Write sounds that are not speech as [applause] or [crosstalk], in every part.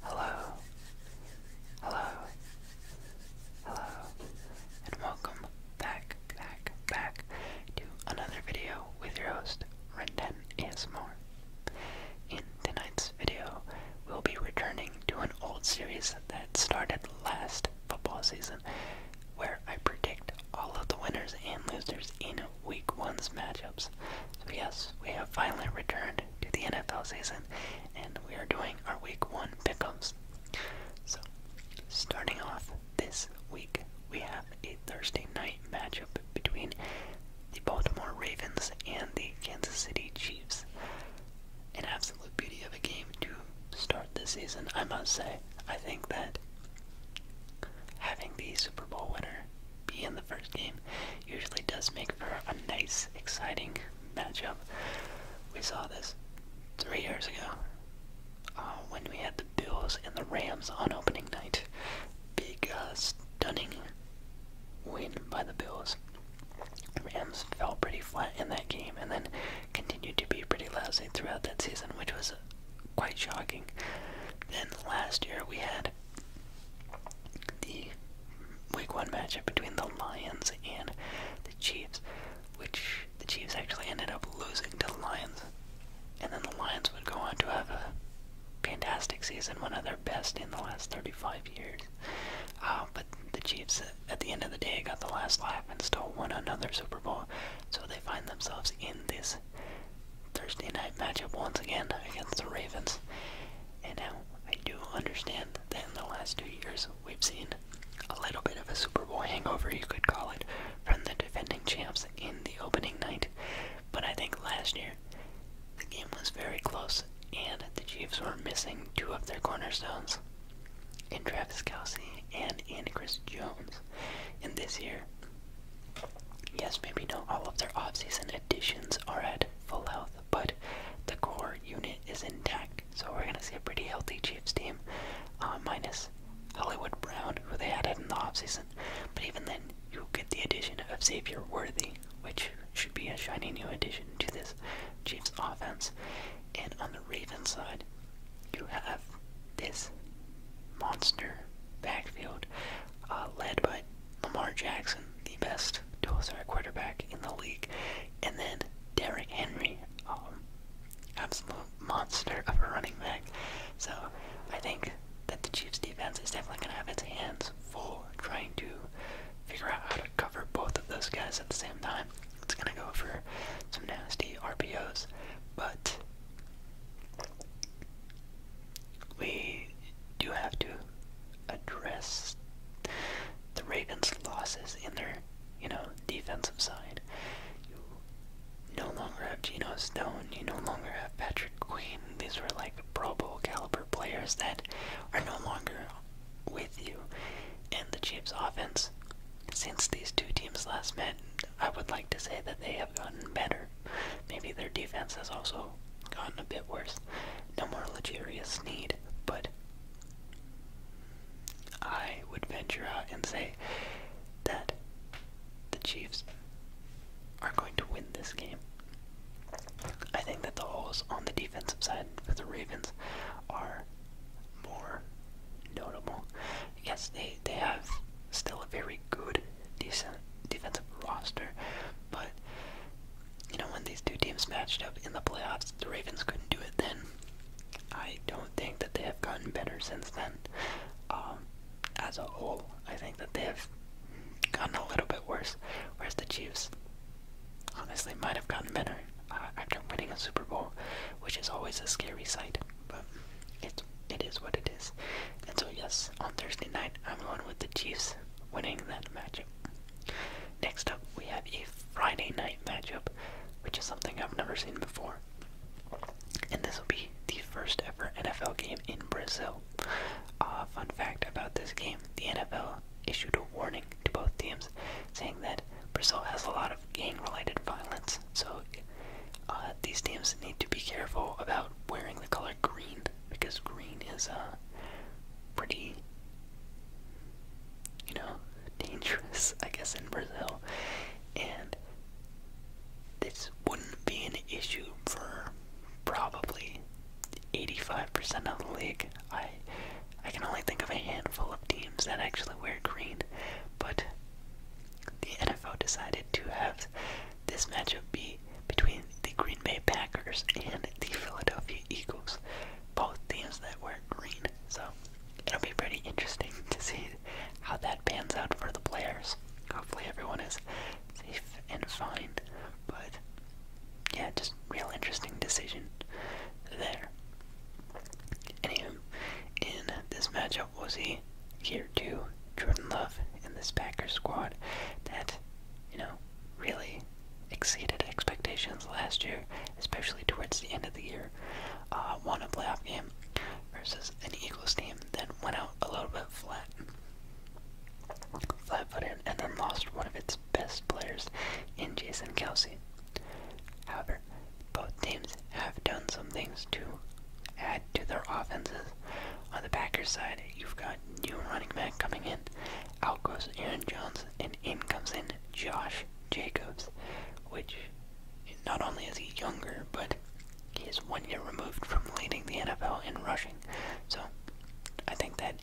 Hello, hello, hello, and welcome back, back, back to another video with your host, Renden ASMR. In tonight's video, we'll be returning to an old series that started last football season, where I predict all of the winners and losers in Week One's matchups. yes, we have finally returned to the NFL season, and we are doing our Week One pickups. So, starting off this week, we have a Thursday night matchup between the Baltimore Ravens and the Kansas City Chiefs. An absolute beauty of a game to start the season, I must say. I think that having the Super Bowl winner be in the first game usually does make for a nice, exciting matchup. We saw this three years ago uh, when we had the Bills and the Rams on opening night. Big, uh, stunning win by the Bills. Rams fell pretty flat in that game and then continued to be pretty lousy throughout that season, which was quite shocking. Then last year we had the Week One matchup between the Lions and the Chiefs, which the Chiefs actually ended up losing to the Lions, and then the Lions would go on to have a fantastic season, one of their best in the last 35 years. Uh, but the Chiefs, at the end of the day, got the last laugh and still won another Super Bowl, so they find themselves in this Thursday night matchup once again against the Ravens. And now I do understand that in the last two years we've seen a little bit of a Super Bowl hangover, you could call it, from the defending champs in the opening night. But I think last year the game was very close, and the Chiefs were missing two of their cornerstones in Travis Kelsey and in Chris Jones. And this year, yes, maybe not all of their offseason additions are at full health, but the core unit is intact. So we're going to see a pretty healthy Chiefs team, uh, minus Hollywood Brown, who they had in the offseason. But even then, you get the addition of Xavier Worthy, which should be a shiny new addition to this Chiefs offense. And on the Ravens side, you have this monster backfield uh, led by Lamar Jackson, the best dual star quarterback in the league. And then Derrick Henry, um, absolute monster of a running back. So I think that the Chiefs defense is definitely going to have its hands full trying to figure out how to cover both of those guys at the same time. It's going to go for some nasty RPOs, but we do have to address the Ravens' losses in their, you know, defensive side. You no longer have Geno Stone. You no longer have Patrick Queen. These were like Pro Bowl caliber players that are no longer with you. And the Chiefs' offense, since these two teams last met, I would like to say that they have gotten better. Maybe their defense has also gotten a bit worse. No more luxurious need, but I would venture out and say that the Chiefs are going to win this game. I think that the holes on the defensive side for the Ravens are more notable. Yes, they, they have still a very good decent defensive roster, but you know, when these two teams matched up in the playoffs, the Ravens couldn't do it then. I don't think that they have gotten better since then. Um, as a whole, I think that they have gotten a little bit worse. Whereas the Chiefs, honestly, might have gotten better uh, after winning a Super Bowl, which is always a scary sight. But it it is what it is. And so yes, on Thursday night, I'm going with the Chiefs winning that matchup. Next up, we have a Friday night matchup, which is something I've never seen before. And this will be the first ever NFL game in Brazil. A uh, fun fact about this game the NFL issued a warning to both teams saying that Brazil has a lot of gang related violence, so uh, these teams need to be careful about wearing the color green because green is a uh, pretty you know [laughs] dangerous I guess in Brazil and this wouldn't be an issue for probably 85% of the league. I I can only think of a handful of teams that actually wear green, but the NFL decided to have this matchup be between the Green Bay Packers and the Philadelphia Eagles. Both teams that wear green. So it'll be pretty interesting to see how that pans out for the players. Hopefully everyone is safe and fine. But yeah, just real interesting decision there. Anywho, in this matchup we'll see here too Jordan Love in this Packers squad that, you know, really exceeded expectations last year, especially towards the end of the year. Uh, won a playoff game versus an Eagles team that went out a little bit flat, flat-footed, and then lost one of its best players in Jason Kelsey. However, both teams have done some things to add to their offenses. On the Packers side, you've got new running back coming in out goes Aaron Jones, and in comes in Josh Jacobs, which not only is he younger, but he is one year removed from leading the NFL in rushing. So I think that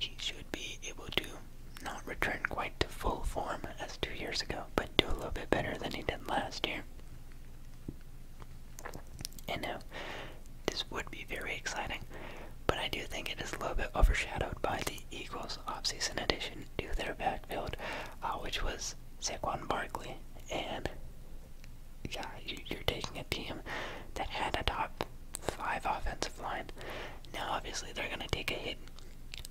he should be able to not return quite to full form as two years ago, but do a little bit better than he did last year. And now, uh, this would be very exciting, but I do think it is a little bit overshadowed by the Eagles' offseason addition to their backfield, uh, which was Saquon Barkley. And yeah, you're taking a team that had a top five offensive line. Now, obviously, they're going to take a hit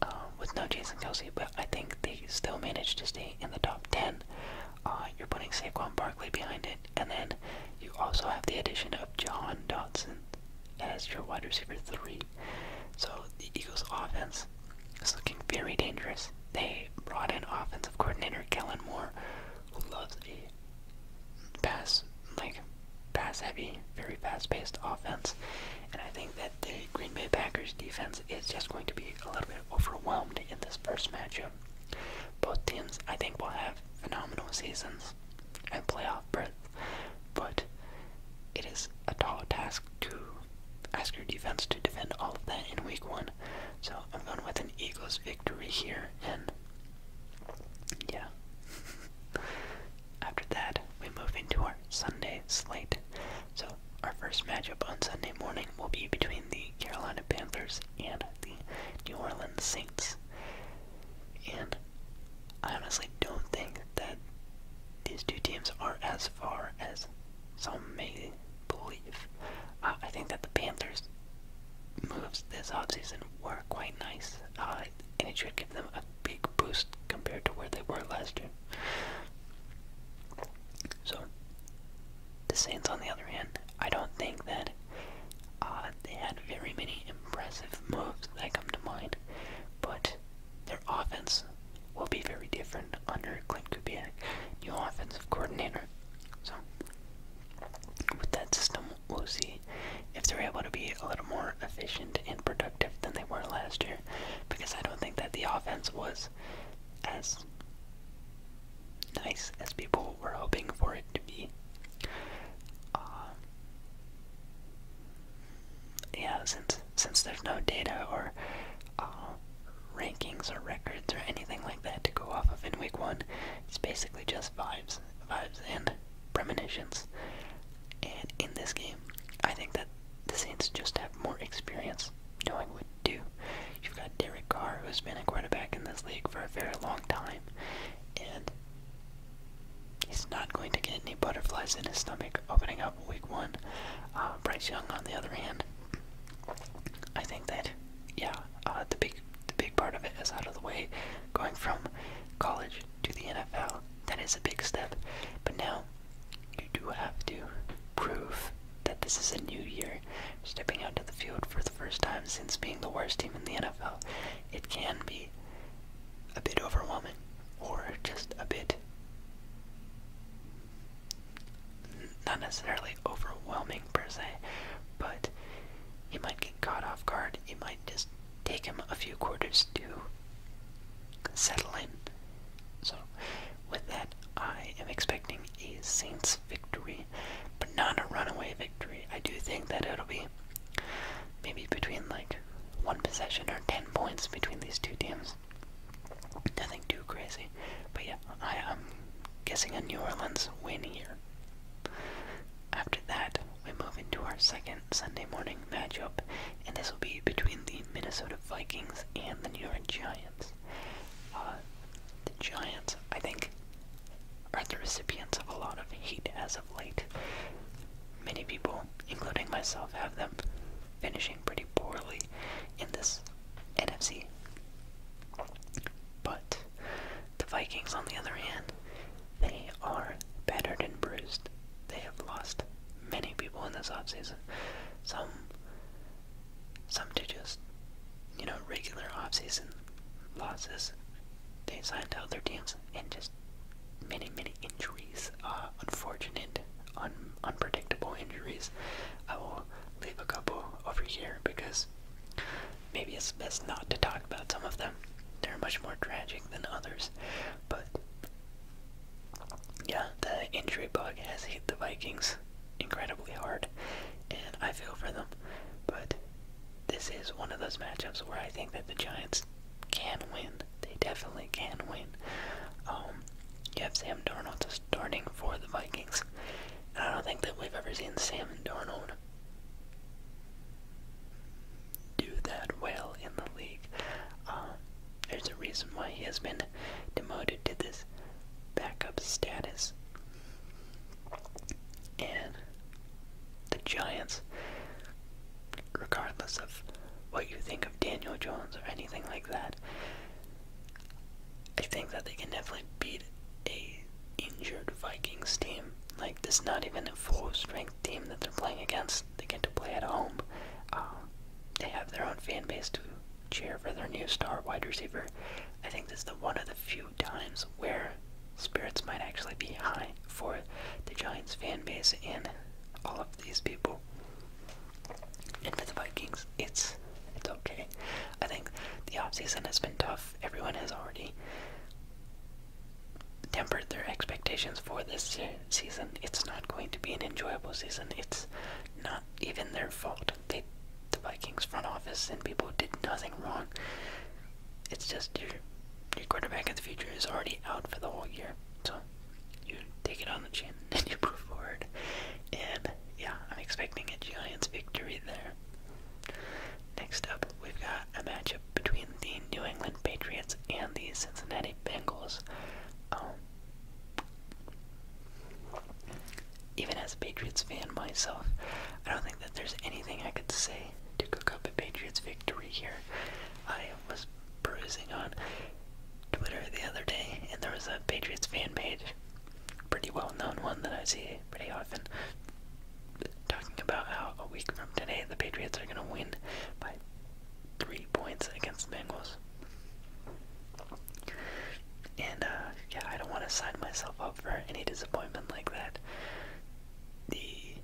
um, with no Jason Kelsey, but I think they still managed to stay in the top 10. Uh, you're putting Saquon Barkley behind it. And then you also have the addition of John Dodson as your wide receiver three. So the Eagles offense is looking very dangerous. They brought in offensive coordinator Kellen Moore, who loves a pass like pass heavy, very fast paced offense. And I think that the Green Bay Packers defense is just going to be a little bit overwhelmed in this first matchup. Both teams, I think, will have phenomenal seasons and playoff berth, but it is a tall task to ask your defense to defend all of that in week one. So I'm going with an Eagles victory here, and yeah. [laughs] After that, we move into our Sunday slate. So our first matchup on Sunday morning will be between the Carolina Panthers and the New Orleans Saints. And I honestly don't think that these two teams are as far as some may believe. Uh, I think that the Panthers' moves this offseason were quite nice, uh, and it should give them a big boost compared to where they were last year. So, the Saints, on the other hand, I don't think that uh, they had very many impressive moves that come to mind, but their offense will be very different under Clint Kubiak, new offensive coordinator. So, with that system, we'll see if they're able to be a little more efficient and productive than they were last year, because I don't think that the offense was as nice as people we're hoping for it to be. Uh, yeah, since since there's no data or uh, rankings or records or anything like that to go off of in week one, it's basically just vibes, vibes and premonitions. And in this game, I think that the Saints just have more experience knowing what to do. You've got Derek Carr, who's been a quarterback in this league for a very long time and he's not going to get any butterflies in his stomach opening up week one. Uh, Bryce Young, on the other hand, I think that yeah, uh, the big the big part of it is out of the way. Going from college to the NFL, that is a big step. But now you do have to prove that this is a new year, stepping out to the field for first time since being the worst team in the NFL, it can be a bit overwhelming or just a bit not necessarily overwhelming per se, but you might get caught off guard. It might just take him a few quarters to settle in. So, with that, I am expecting a Saints victory but not a runaway victory. I do think that it'll be maybe between like one possession or 10 points between these two teams. Nothing too crazy. But yeah, I, am guessing a New Orleans win here. After that, we move into our second Sunday morning matchup, and this will be between the Minnesota Vikings and the New York Giants. Uh, the Giants, I think, are the recipients of a lot of heat as of late. Many people, including myself, have them finishing pretty poorly in this NFC. But the Vikings, on the other hand, they are battered and bruised. They have lost many people in this offseason. Some some to just you know regular off season losses. They signed to other teams and just many, many injuries. Uh, unfortunate, un unpredictable injuries. I will leave a couple over here because maybe it's best not to talk about some of them. They're much more tragic than others. But yeah, the injury bug has hit the Vikings incredibly hard, and I feel for them. But this is one of those matchups where I think that the Giants can win. They definitely can win. Um, you have Sam Darnold starting for the Vikings. And I don't think that we've ever seen Sam Darnold do that well in the league. Um, there's a reason why he has been demoted to this backup status. And the Giants, regardless of what you think of Daniel Jones or anything like that, I think that they can definitely beat a injured Vikings team. Like this, not even a full strength team that they're playing against. They get to play at home. Um, they have their own fan base to cheer for their new star wide receiver. I think this is the one of the few times where spirits might actually be high for the Giants fan base and all of these people. And for the Vikings, it's it's okay. I think the off season has been tough. Everyone has already tempered their expectations for this season. It's not going to be an enjoyable season. It's not even their fault. They, the Vikings front office and people did nothing wrong it's just your your quarterback in the future is already out for the whole year. So you take it on the chin [laughs] and you move forward. And yeah, I'm expecting a Giants victory there. Next up, we've got a matchup between the New England Patriots and the Cincinnati Bengals. Um, even as a Patriots fan myself, I don't think that there's anything I could say to cook up Patriots victory here. I was perusing on Twitter the other day, and there was a Patriots fan page, pretty well known one that I see pretty often, talking about how a week from today the Patriots are going to win by three points against the Bengals. And, uh, yeah, I don't want to sign myself up for any disappointment like that the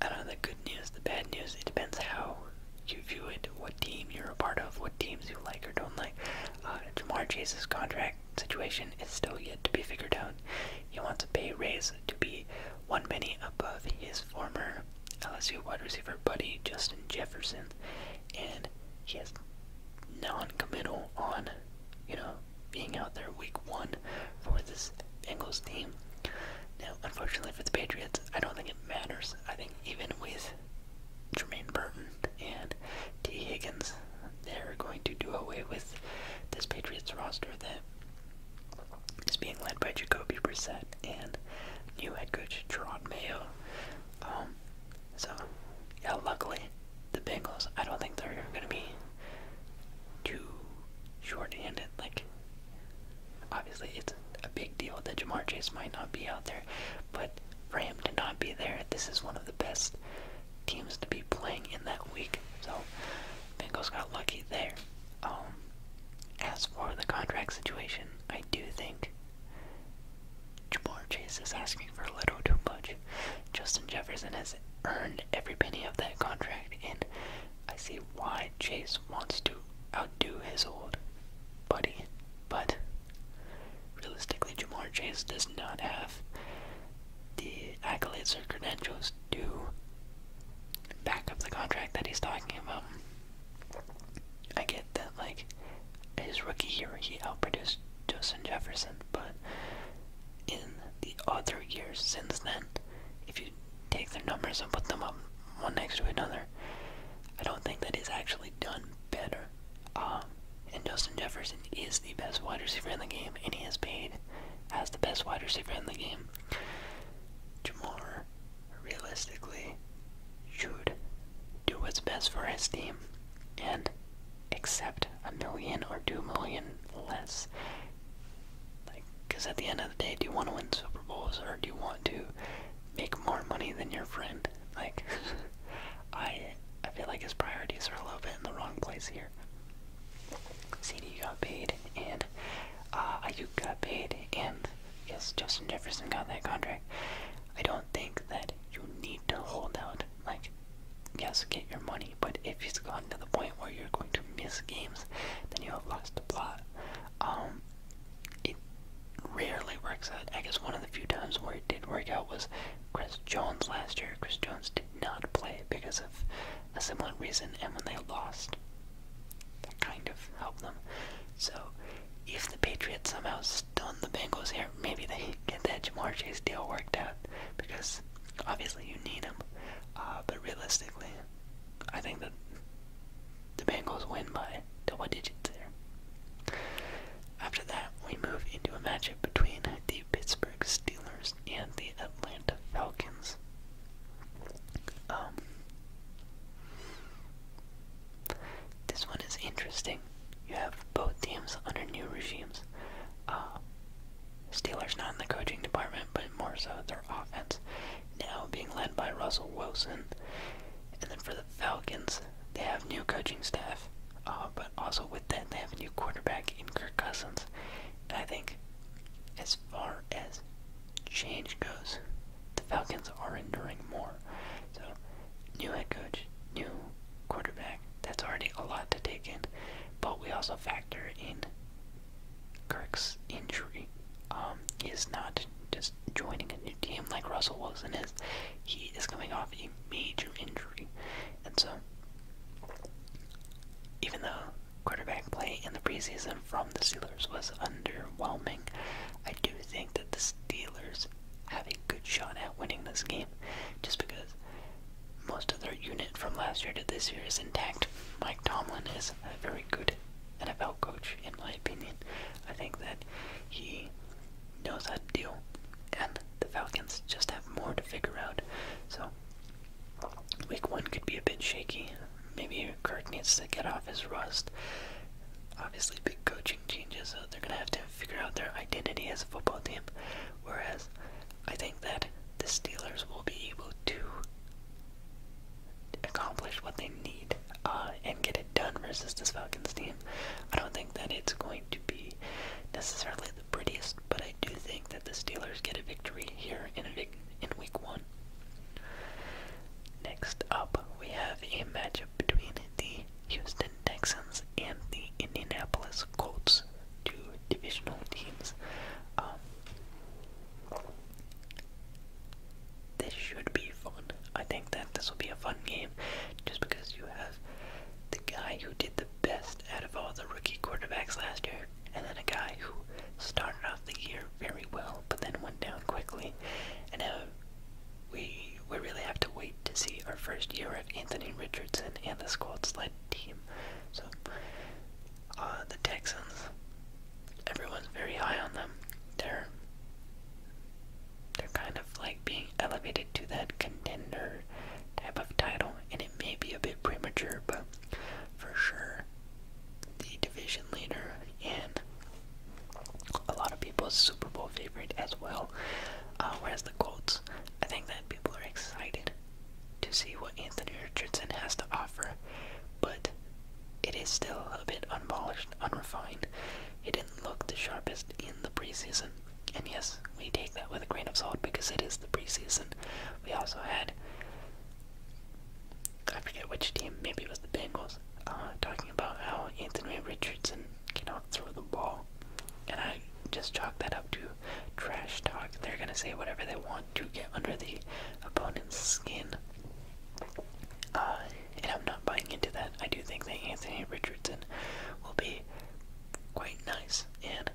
I don't know the good news, the bad news. It depends how you view it, what team you're a part of, what teams you like or don't like. Uh, Jamar Chase's contract situation is still yet to be figured out. He wants a pay raise to be one penny above his former LSU wide receiver buddy Justin Jefferson, and he has non-committal on, you know, being out there week one for this Bengals team. Now, unfortunately for the Patriots, I don't think it matters. I think even with Jermaine Burton and T. Higgins, they're going to do away with this Patriots roster that is being led by Jacoby Brissett and new head coach Gerard Mayo. Um, so, yeah, luckily the Bengals, I don't think they're going to be too short-handed. Like, obviously, it's a big deal that Jamar Chase might not be out there, but for him to not be there, this is one of the best teams to be playing in that week. So, Bengals got lucky there. Um, as for the contract situation, I do think Jamar Chase is asking for a little too much. Justin Jefferson has earned every penny of that contract, and I see why Chase wants to outdo his old buddy. But realistically, Jamar Chase does not have the accolades or credentials to back up the contract that he's talking about. I get that, like, his rookie year, he outproduced Justin Jefferson, but in the other years since then. If you take their numbers and put them up one next to another, I don't think that is actually done better. Um, and Justin Jefferson is the best wide receiver in the game, and he has paid as the best wide receiver in the game. Jamar, realistically, should do what's best for his team and accept a million or two million less. Like, because at the end of the day, do you want to win Super Bowls or do you want to make more money than your friend? Like, [laughs] I I feel like his priorities are a little bit in the wrong place here. CD got paid, and uh, Ayuk got paid, and yes, Justin Jefferson got that contract. I don't think that you need to hold out. Like, yes, get your money, but if it's gotten to the point where you're going to miss games, then you have lost the plot. Um, it rarely works out. I guess one of the few times where it did work out was Chris Jones last year. Chris Jones did not play because of a similar reason, and when they lost, that kind of helped them. So, if the Patriots somehow stun the Bengals here, maybe they [laughs] get that Jamar Chase deal worked out because obviously you need him. Uh, but realistically, I think that the Bengals win by double digits there. After that, we move into a matchup between the Pittsburgh Steelers and the Atlanta Falcons. Um, this one is interesting. You have both teams under new regimes. Uh, Steelers not in the coaching department, but more so their offense now being led by Russell Wilson. And then for the Falcons, they have new coaching staff, uh, but also with that, they have a new quarterback in Kirk Cousins. I think, as far as change goes, the Falcons are enduring more. So, new head coach, new quarterback, that's already a lot to take in, but we also factor in Kirk's injury um, is not just joining a new team like Russell Wilson is. He is coming off a major injury. And so, even though quarterback play in the preseason from the Steelers was underwhelming, I do think that the Steelers have a good shot at winning this game just because most of their unit from last year to this year is intact. Mike Tomlin is a very good NFL coach, in my opinion. I think that he knows how to deal, and the Falcons just have more to figure out. So, week one could be a bit shaky. Maybe Kirk needs to get off his rust. Obviously, big coaching changes, so they're going to have to figure out their identity as a football team. Whereas, I think that the Steelers will be able to accomplish what they need uh, and get it done versus this Falcons team. I don't think that it's going to be necessarily the prettiest, but I do think that the Steelers get a victory here in, a in week one. Next up, we have a matchup between the Houston Texans and the Indianapolis Colts to divisional teams. Um, this should be fun. I think that this will be a fun game just because you have the guy who did the best out of all the rookie quarterbacks last year, and then a guy who started off the year very well but then went down quickly. And now uh, we, we really have to wait to see our first year of Anthony Richardson and this Colts led team. So uh, the Texans. Everyone's very high on them. They're they're kind of like being elevated to that contender type of title, and it may be a bit premature, but for sure, the division leader and a lot of people's Super Bowl favorite as well. Uh, whereas the Colts, I think that people are excited to see what Anthony Richardson has to offer, but it is still a bit unpolished, unrefined. It didn't look the sharpest in the preseason. And yes, we take that with a grain of salt because it is the preseason. We also had, I forget which team, maybe it was the Bengals, uh, talking about how Anthony Richardson cannot throw the ball. And I just chalk that up to trash talk. They're gonna say whatever they want to get under the opponent's skin. Uh, and I'm not buying into that. I do think that Anthony Richardson will be quite nice and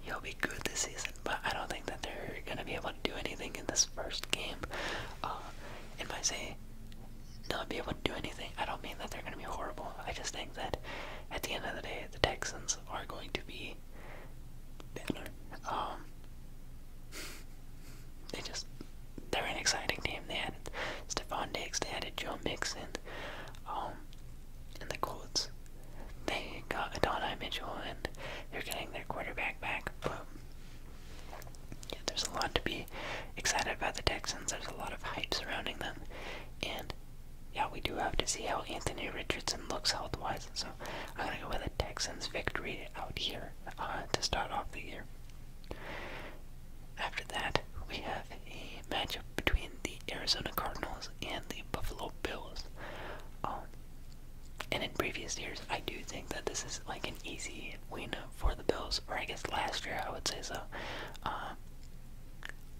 he'll be good this season, but I don't think that they're gonna be able to do anything in this first game. Uh, and say saying not be able to do anything, I don't mean that they're gonna be horrible. I just think that at the end of the day, the Texans are going to be better. Um, [laughs] they just, they're an exciting team. They added Stephon Diggs, they added Joe Mixon, um, and the Colts. They got Adonai Mitchell, and they're getting their quarterback back. But yeah, there's a lot to be excited about the Texans. There's a lot of hype surrounding them, and yeah, we do have to see how Anthony Richardson looks health wise. So I'm going to go with a Texans victory out here uh, to start off the year. After that, we have a matchup between the Arizona Cardinals and the Buffalo Bills. Um, and in previous years, I do think that this is like an easy win for the Bills, or I guess last year I would say so. Um,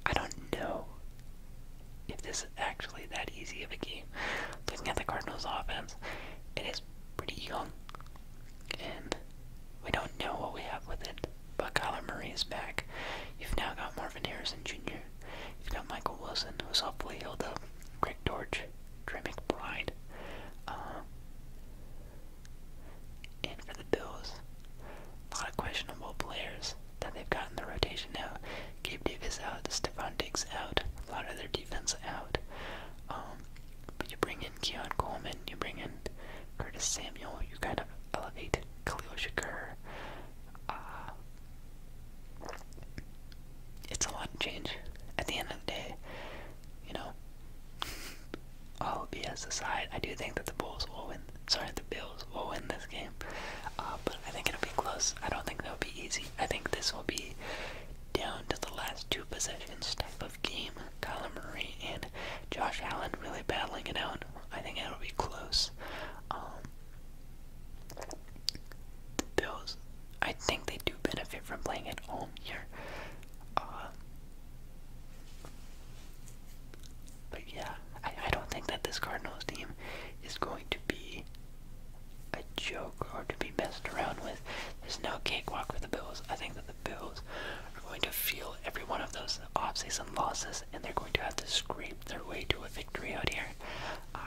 I don't know if this is actually that easy of a game. Looking at the Cardinals' offense, it is pretty young, and we don't know what we have with it. But Kyler Murray is back. You've now got Marvin Harrison Jr. You've got Michael Wilson, who's hopefully healed up. Greg Dortch, Trey McBride, uh, and for the Bills, a lot of questionable players that they've got in the rotation now. Gabe Davis out, Stephon Diggs out, a lot of their defense out. Um, but you bring in Keon Coleman, you bring in Curtis Samuel, you kind of elevate Cleo Shaker. Uh, it's a lot of change. At the end of the day, you know, [laughs] all BS aside, I do think that the Bulls will win sorry, the Bills will win this game. Uh, but I think it'll be close. I don't think that'll be easy. I think this will be down to the last two possessions type of game. Kyler Murray and Josh Allen really battling it out. I think it'll be close. Um, the Bills, I think they do benefit from playing at home here. Uh, but yeah, I, I don't think that this Cardinals team is going to be a joke or to be messed around with. There's no cakewalk for the Bills. I think that the Bills are going to feel every one of those offseason losses and they're going to have to scrape their way to a victory out here. Uh,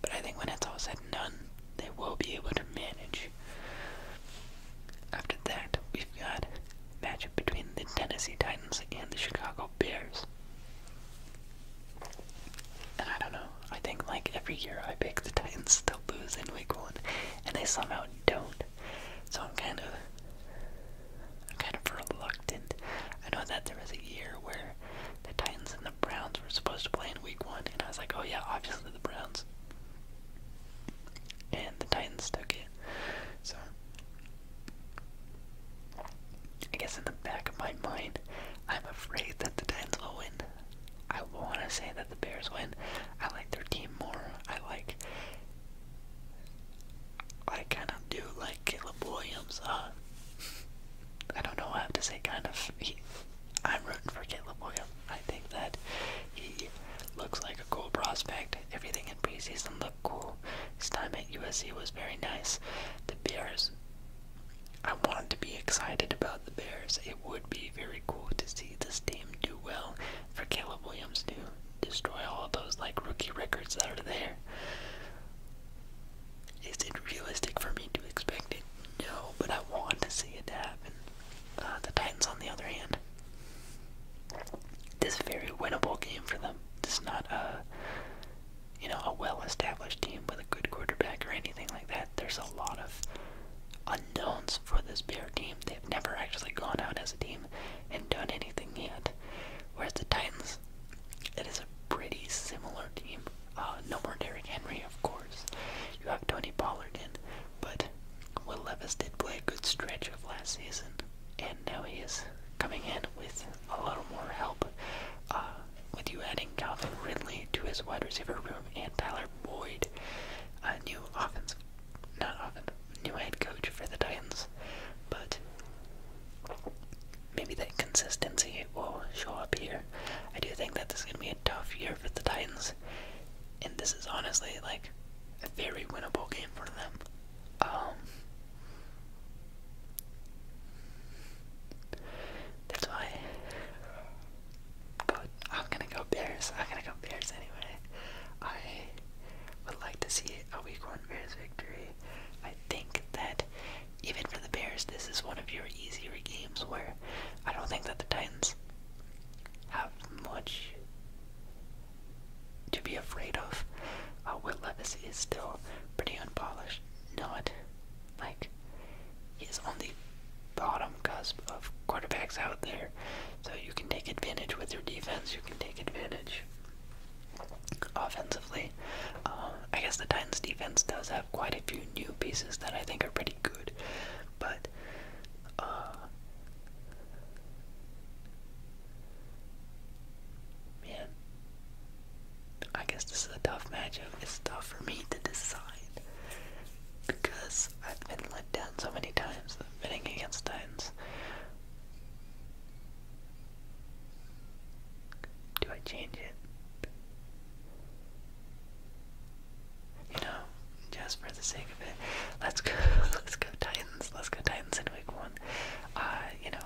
but I think when it's all said and done, they will be able to manage. After that, we've got matchup between the Tennessee Titans and the Chicago Bears. And I don't know, I think like every year I pick the Titans to lose in week one, and they somehow don't. So I'm kind of, I'm kind of reluctant. I know that there was a year where the Titans and the Browns were supposed to play in week one, and I was like, oh yeah, obviously the Browns. And the Titans took it. So I guess in the back of my mind, I'm afraid that the Titans will win. I want to say that the Bears win. I like their team more. I like. I kind of do like Caleb Williams. Uh, I don't know. I have to say, kind of. I'm rooting for Caleb Williams. I think that he looks like a cool prospect. Everything in preseason looked up cool. His time at USC was very nice. The Bears, I wanted to be excited about the Bears. It would be very cool to see this team do well for Caleb Williams to destroy all of those like rookie records that are there. Is it realistic for me to expect it? No, but I want to see it happen. Uh, the Titans, on the other hand, this is a very winnable game for them. It's not a you know, a well-established team with a good quarterback or anything like that. There's a lot of unknowns for this Bear team. They've never actually gone out as a team and done anything yet. Whereas the Titans, it is a pretty similar team. Uh, no more Derrick Henry, of course. You have Tony Pollard in, but Will Levis did play a good stretch of last season, and now he is coming in with a little more help uh, with you adding Calvin Ridley to his wide receiver room and Tyler Boyd, a new offense, not offense, new head coach for the Titans, but maybe that consistency will show up here. I do think that this is going to be a tough year for the Titans, and this is honestly like a very winnable game for them. Um, that's why. But I'm gonna go Bears. I'm gonna go Bears anyway. I would like to see a Week One Bears victory. I think that even for the Bears, this is one of your easier games where I don't think that the Titans have much to be afraid of. Uh, Will Levis is still pretty unpolished, not like he's only bottom cusp of quarterbacks out there. So you can take advantage with your defense. You can take advantage offensively. Um, I guess the Titans defense does have quite a few new pieces that I think are pretty good, but uh, man, I guess this is a tough matchup. It's tough for me to decide because I've been let down so many times betting against Titans. Do I change it? You know, just for the sake of it, let's go. [laughs] Let's go Titans. Let's go Titans in week one. Uh, you know,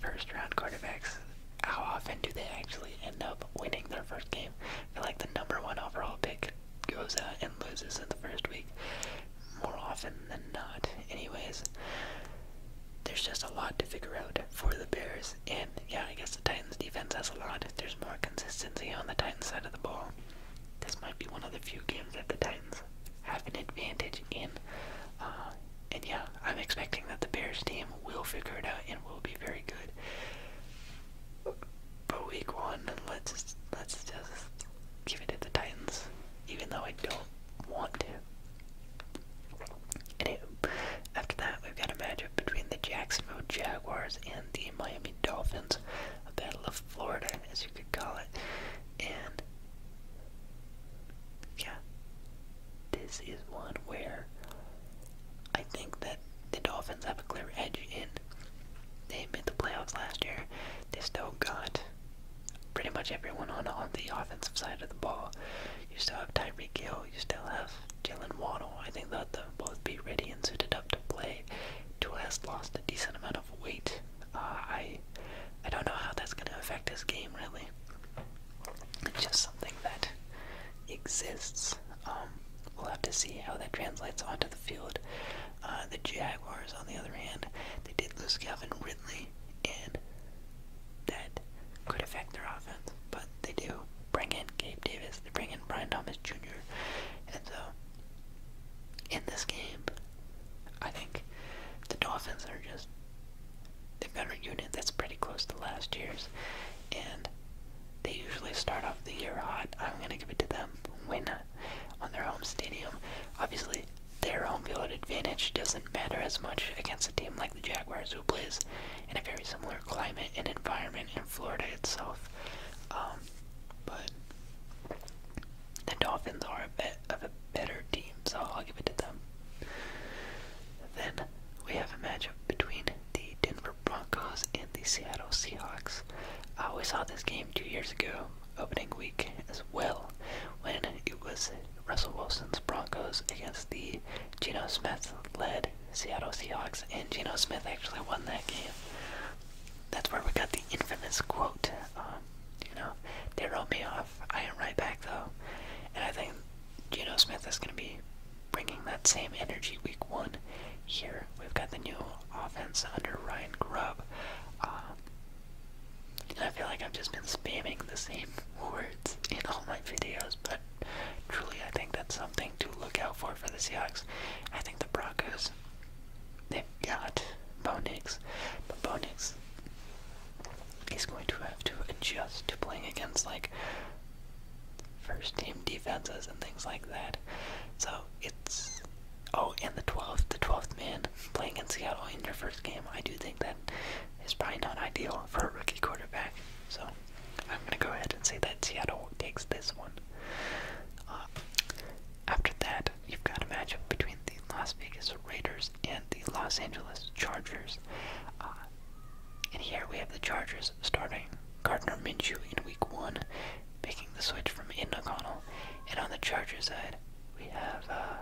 first round quarterbacks, how often do they actually end up winning their first game? I feel like the number one overall pick goes out uh, and loses in the first week more often than not. Anyways, there's just a lot to figure out for the Bears, and yeah, I guess the Titans defense has a lot. There's more consistency on the Titans side of the ball. This might be one of the few games that the Titans have an advantage in. Uh, and yeah, I'm expecting that the Bears team will figure it out and will be very good. But week one, let's let's just give it to the Titans, even though I don't want to. And after that, we've got a matchup between the Jacksonville Jaguars and the Miami Dolphins, battle of Florida, as you could call it. And yeah, this is one where I think that the Dolphins have a clear edge in. They made the playoffs last year. They still got pretty much everyone on on the offensive side of the ball. You still have Tyreek Hill. You still have Jalen Waddle. I think that they'll both be ready and suited up to play. Tua has lost a decent amount of weight. Uh, I I don't know how that's going to affect his game really. It's just something that exists. Um, we'll have to see how that translates onto the field. Uh, the Jaguars, on the other hand, they did lose Calvin Ridley, and that could affect their offense. But they do bring in Gabe Davis, they bring in Brian Thomas Jr., and so in this game, I think the Dolphins are just They've got a unit that's pretty close to last year's, and they usually start off the year hot. I'm gonna give it to them. Win on their home stadium. Obviously, their home field advantage doesn't matter as much against a team like the Jaguars, who plays in a very similar climate and environment in Florida itself. Um, but the Dolphins are a bit of a better team, I'll give it to them. Then we have a matchup between the Denver Broncos and the Seattle Seahawks. I always saw this game two years ago, opening week as well, when it was Russell Wilson's Broncos against the Geno Smith led Seattle Seahawks, and Geno Smith actually won that game. That's where we got the infamous quote. Um, you know, they wrote me off. I am right back though, and I think Gino Smith is going to be bringing that same energy week one here. We've got the new offense under Ryan Grubb. Uh, I feel like I've just been spamming the same [laughs] words in all my videos, but truly I think that's something to look out for for the Seahawks. I think the Broncos, they've got Bo Nix, but Bo he's going to have to adjust to playing against like first team defenses and things like that. So it's oh, and the twelfth, the twelfth man playing in Seattle in your first game. I do think that is probably not ideal for a rookie quarterback. So I'm gonna go ahead and say that Seattle takes this one. Uh, after that, you've got a matchup between the Las Vegas Raiders and the Los Angeles Chargers. Uh, and here we have the Chargers starting Gardner Minshew in week one, making the switch from Ian O'Connell. And on the Chargers side, we have uh,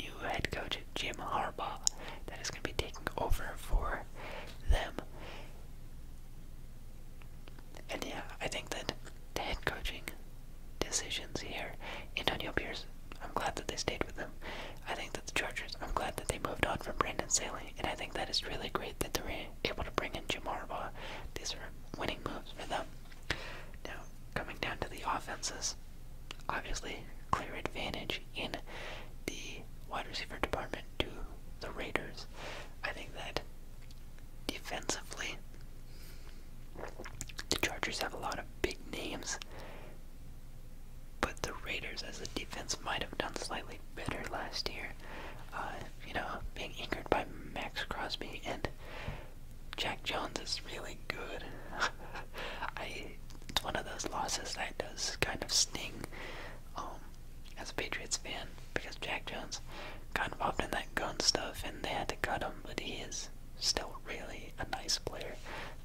new head coach Jim Harbaugh that is going to be taking over for them. And yeah, I think that the head coaching decisions here. Antonio Pierce, I'm glad that they stayed with them. I think that the Chargers, I'm glad that they moved on from Brandon Saley, and I think that is really great that they're able to bring in Jim Harbaugh. These are winning moves for them. Now, coming down to the offenses, obviously clear advantage in the wide receiver department to the Raiders. I think that defensively, the Chargers have a lot of big names. But the Raiders, as a defense, might have done slightly better last year. Uh, you know, being anchored by Max Crosby and Jack Jones is really good. [laughs] I, it's one of those losses that does kind of sting um, as a Patriots fan because Jack Jones got involved in that gun stuff and they had to cut him, but he is still really a nice player.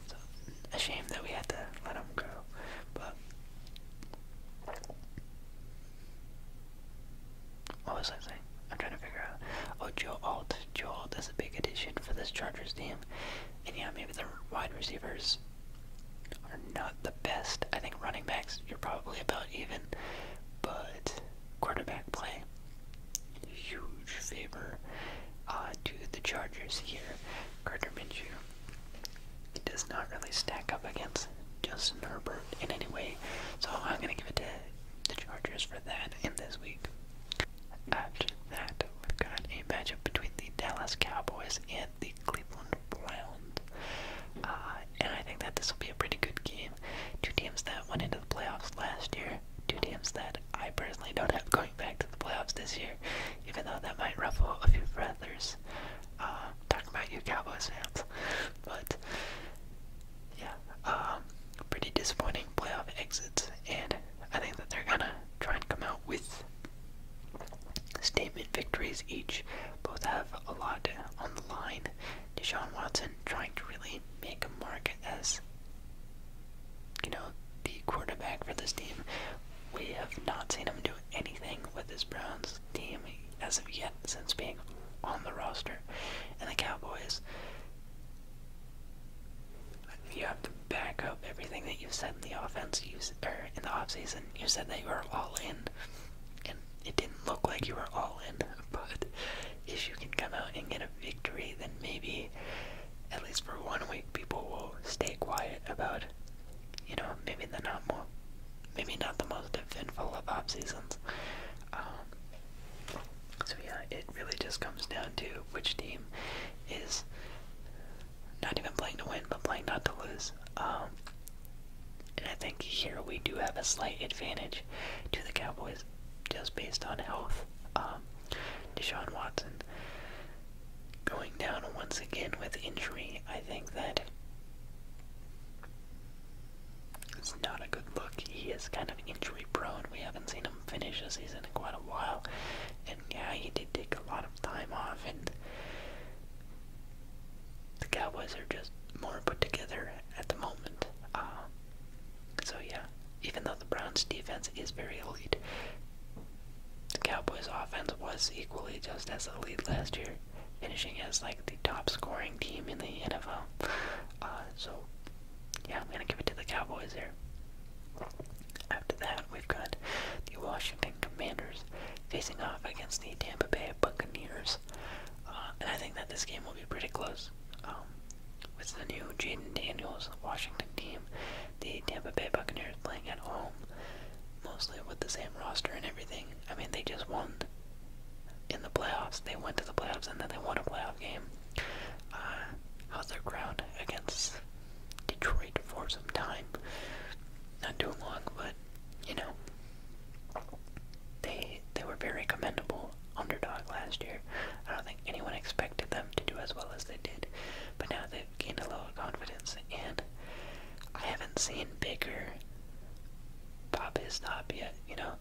So, a shame that we had to let him go, but what was I saying? I'm trying to figure out. Oh, Joe Alt. Joe Alt is a big addition for this Chargers team, and yeah, maybe the wide receivers are not the best. I think running backs, you're probably about even, but quarterback play huge favor uh, to the Chargers here. Gardner Minshew does not really stack up against Justin Herbert in any way, so I'm going to give it to the Chargers for that in this week. After that, we've got a matchup between the Dallas Cowboys and the Cleveland Browns. Uh, and I think that this will be a pretty good game. Two teams that went into the playoffs last year two teams that I personally don't have going back to the playoffs this year, even though that might ruffle a few feathers. Uh, Talk about your Cowboys fans, [laughs] but yeah, um, pretty disappointing playoff exits, and I think that they're gonna try and come out with statement victories each. Both have a lot on the line. Deshaun Watson trying to really make a mark as you know, the quarterback for this team. We have not seen him do anything with this Browns team as of yet since being on the roster. And the Cowboys, you have to back up everything that you've said in the offense, you, or er, in the offseason. You said that you were all in, and it didn't look like you were all in. [laughs] But if you can come out and get a victory, then maybe at least for one week, people will stay quiet about, you know, maybe the not more, maybe not the most eventful of off seasons. Um, so yeah, it really just comes down to which team is not even playing to win, but playing not to lose. Um, and I think here we do have a slight advantage to the Cowboys just based on health. Um, Deshaun Watson going down once again with injury, I think that it's not a good look. He is kind of injury prone. We haven't seen him finish a season in quite a while. And yeah, he did take a lot of time off, and the Cowboys are just more put together at the moment. Uh, so yeah, even though the Browns' defense is very elite, the Cowboys' offense was equally just as elite last year, finishing as like the top-scoring team in the NFL. Uh, so yeah, I'm gonna give it to the Cowboys here. After that, we've got the Washington Commanders facing off against the Tampa Bay Buccaneers, uh, and I think that this game will be pretty close. Um, with the new Jaden Daniels Washington team, the Tampa Bay Buccaneers playing at home, mostly with the same roster and everything. I mean, they just won in the playoffs. They went to the playoffs and then they won a playoff game. Uh, how's their crowd against Detroit for some time? Not too long, but you know, they they were very commendable underdog last year. I don't think anyone expected them to do as well as they did, but now they've gained a little confidence, and I haven't seen Baker pop his top yet, you know?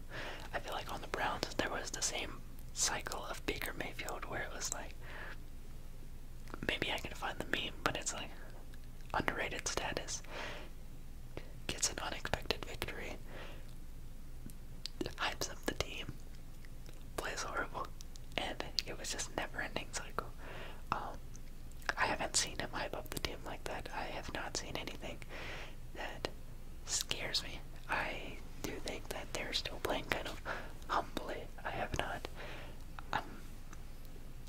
I feel like on the Browns, there was the same cycle of Baker Mayfield where it was like, maybe I can find the meme, but it's like, underrated status, gets an unexpected victory, hypes up the team, plays horrible, and it was just never-ending cycle. Um, I haven't seen him hype up the team like that. I have not seen anything that scares me. I do think that they're still playing kind of humbly. I have not. Um,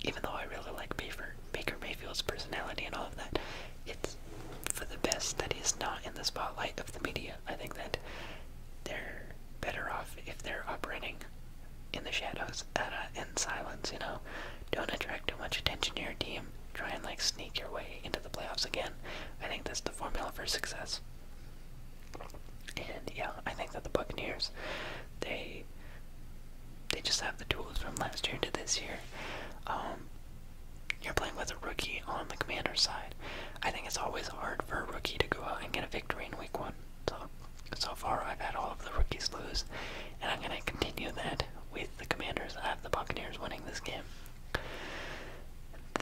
even though I really like Baker, Baker Mayfield's personality and all of that, it's for the best that he's not in the spotlight of the media I think that they're better off if they're operating in the shadows and in silence, you know. Don't attract too much attention to your team. Try and like sneak your way into the playoffs again. I think that's the formula for success. And yeah, I think that the Buccaneers, they they just have the tools from last year to this year. Um, you're playing with a rookie on the commander's side. I think it's always hard for a rookie to go out and get a victory in week one. So, so far, I've had all of the rookies lose, and I'm going to continue that with the commanders. I have the Buccaneers winning this game.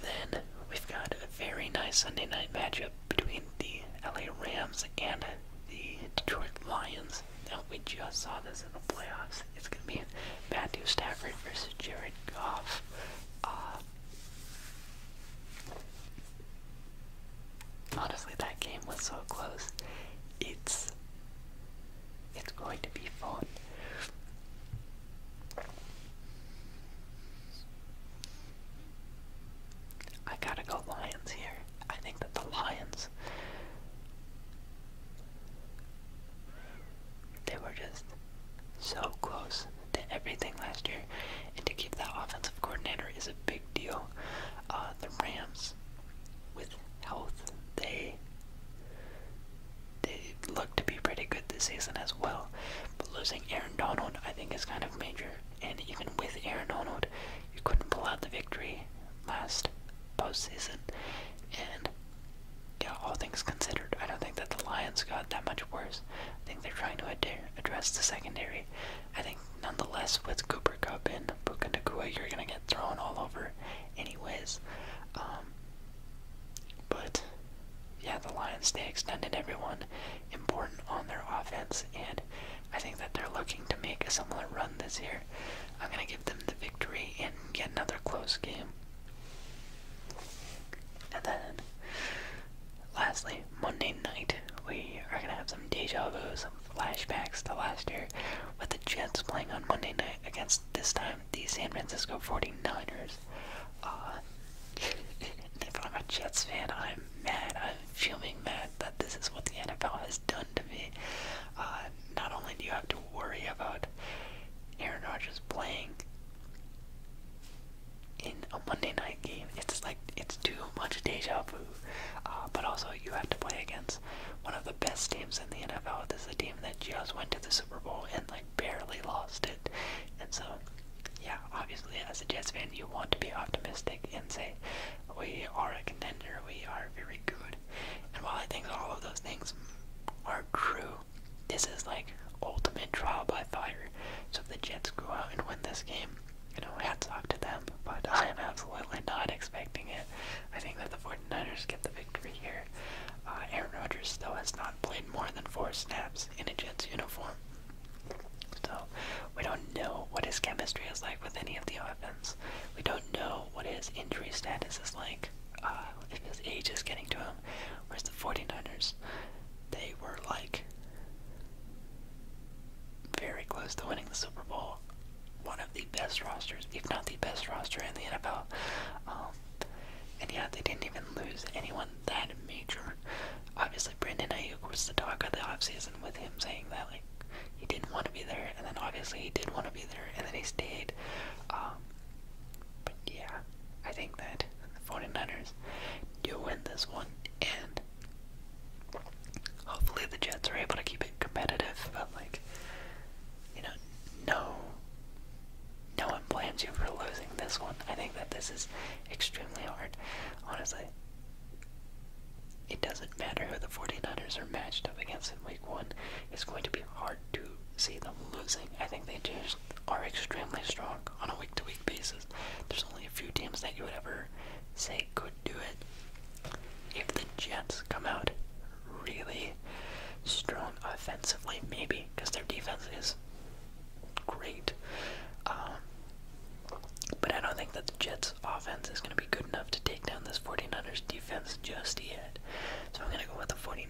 Then we've got a very nice Sunday night matchup between the LA Rams and the Detroit Lions. Now we just saw this in the playoffs. It's gonna be Matthew Stafford versus Jared Goff. Uh, Honestly, that game was so close. It's it's going to be fun. I gotta go Lions here. I think that the Lions they were just so close to everything last year, and to keep that offensive coordinator is a big deal. Uh, the Rams, with health, they they look to be pretty good this season as well. But losing Aaron Donald, I think, is kind of major. And even with Aaron Donald, you couldn't pull out the victory last postseason. And yeah, all things considered, I don't think that the Lions got that much worse. I think they're trying to address the secondary. I think nonetheless, with Cooper Cup and Puka Nakua, you're gonna get thrown all over, anyways. Um, but yeah, the Lions they extended everyone important on their offense, and I think that they're looking to make a similar run this year. I'm gonna give them the victory and get another close game. And then Lastly, Monday night, we are going to have some deja vu, some flashbacks to last year with the Jets playing on Monday night against this time the San Francisco 49ers. Uh, [laughs] if I'm a Jets fan, I'm mad. I'm feeling mad that this is what the NFL has done to me. Uh, not only do you have to worry about Aaron Rodgers playing in a Monday night game, it's like it's too much deja vu. Uh, but also, you have to play against one of the best teams in the NFL. This is a team that just went to the Super Bowl and like barely lost it. And so, yeah, obviously, as a Jets fan, you want to be optimistic and say we are a contender. We are very good. And while I think all of those things are true, this is like ultimate trial by fire. So if the Jets go out and win this game, you know, hats off to them. But [laughs] I am absolutely not expecting it. I think that the 49ers get the victory here. Uh, Aaron Rodgers still has not played more than four snaps in a Jets uniform. So we don't know what his chemistry is like with any of the offense. We don't know what his injury status is like. Uh, if his age is getting to him, Whereas the 49ers, they were like very close to winning the Super Bowl. One of the best rosters, if not the best roster in the NFL. Um, and yeah, they didn't even lose anyone that major. Obviously, Brendan Ayuk was the talk of the offseason with him saying that, like, he didn't want to be there, and then obviously he did want to be there, and then he stayed. Um, but yeah, I think that the 49ers do win this one, and hopefully the Jets are able to keep it competitive. But like, you know, no, no one blames you for losing this one. I think that this is extremely hard, honestly. It doesn't matter who the 49ers are matched up against in week one. It's going to be hard to see them losing. I think they just are extremely strong on a week to week basis there's only a few teams that you would ever say could do it. If the Jets come out really strong offensively, maybe, because their defense is great. Um, but I don't think that the Jets' offense is going to be good enough to take down this 49ers defense just yet. So I'm going to go with the 49ers.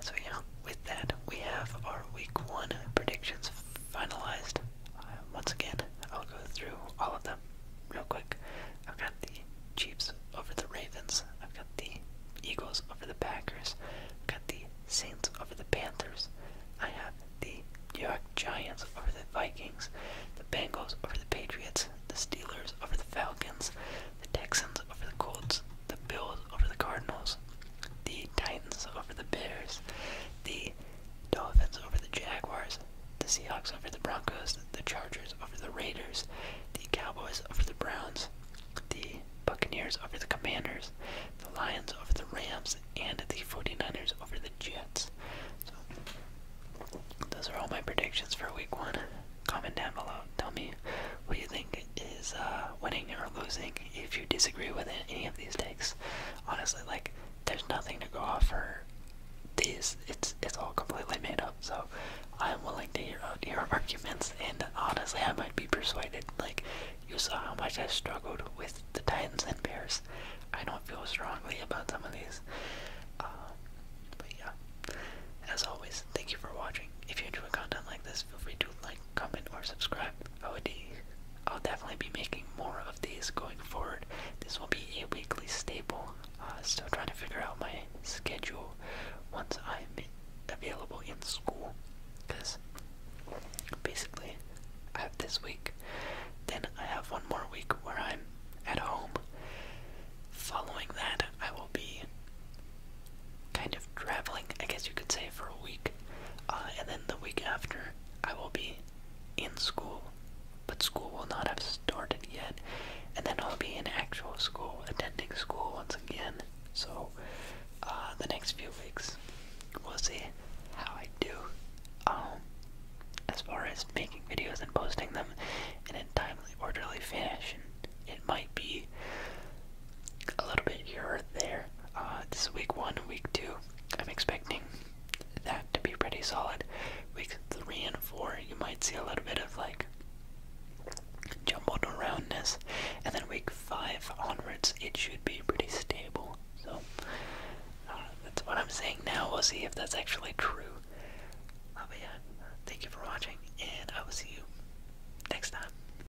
So yeah, with that, we have our week one predictions finalized. Uh, once again, I'll go through all of them real quick. I've got the Chiefs over the Ravens. I've got the Eagles over the Packers. I've got the Saints over the Panthers. I have the New York Giants over the Vikings. The Bengals over the Patriots. The Steelers over the Falcons. The Texans over the Colts. The Bills over the Cardinals, the Titans over the Bears, the Dolphins over the Jaguars, the Seahawks over the Broncos, the Chargers over the Raiders, the Cowboys over the Browns, the Buccaneers over the Commanders, the Lions over the Rams, and the 49ers over the Jets. So, those are all my predictions for week one. Comment down below. Tell me what you think is uh, winning or losing if you disagree with any of these takes. Honestly, like there's nothing to go off for these. It's it's all completely made up. So I'm willing to hear your uh, [laughs] arguments, and honestly, I might be persuaded. Like you saw how much I struggled with the Titans and Bears. I don't feel strongly about some of these. Uh, but yeah, as always, thank you for watching. If you enjoy content like this, feel free to like, comment, or subscribe. I would, I'll definitely be making more of these going forward. This will be a weekly staple. Uh, still trying to figure out my schedule once I'm available in school. Because basically, I have this week, then I have one more week where I'm at home. Following that, I will be kind of traveling, I guess you could say, for a week. Uh, and then the week after, I will be in school, but school will not have started yet. And then I'll be in actual school, attending school once again. So, uh, the next few weeks, we'll see how I do. Um, as far as making videos and posting them in a timely, orderly fashion, it might be a little bit here or there. Uh, this is week one week two. I'm expecting that to be pretty solid. Week three and four, you might see a little bit of like jumbled aroundness, and then week five onwards, it should be pretty stable. So uh, that's what I'm saying now. We'll see if that's actually true. Uh, but yeah, thank you for watching, and I will see you next time.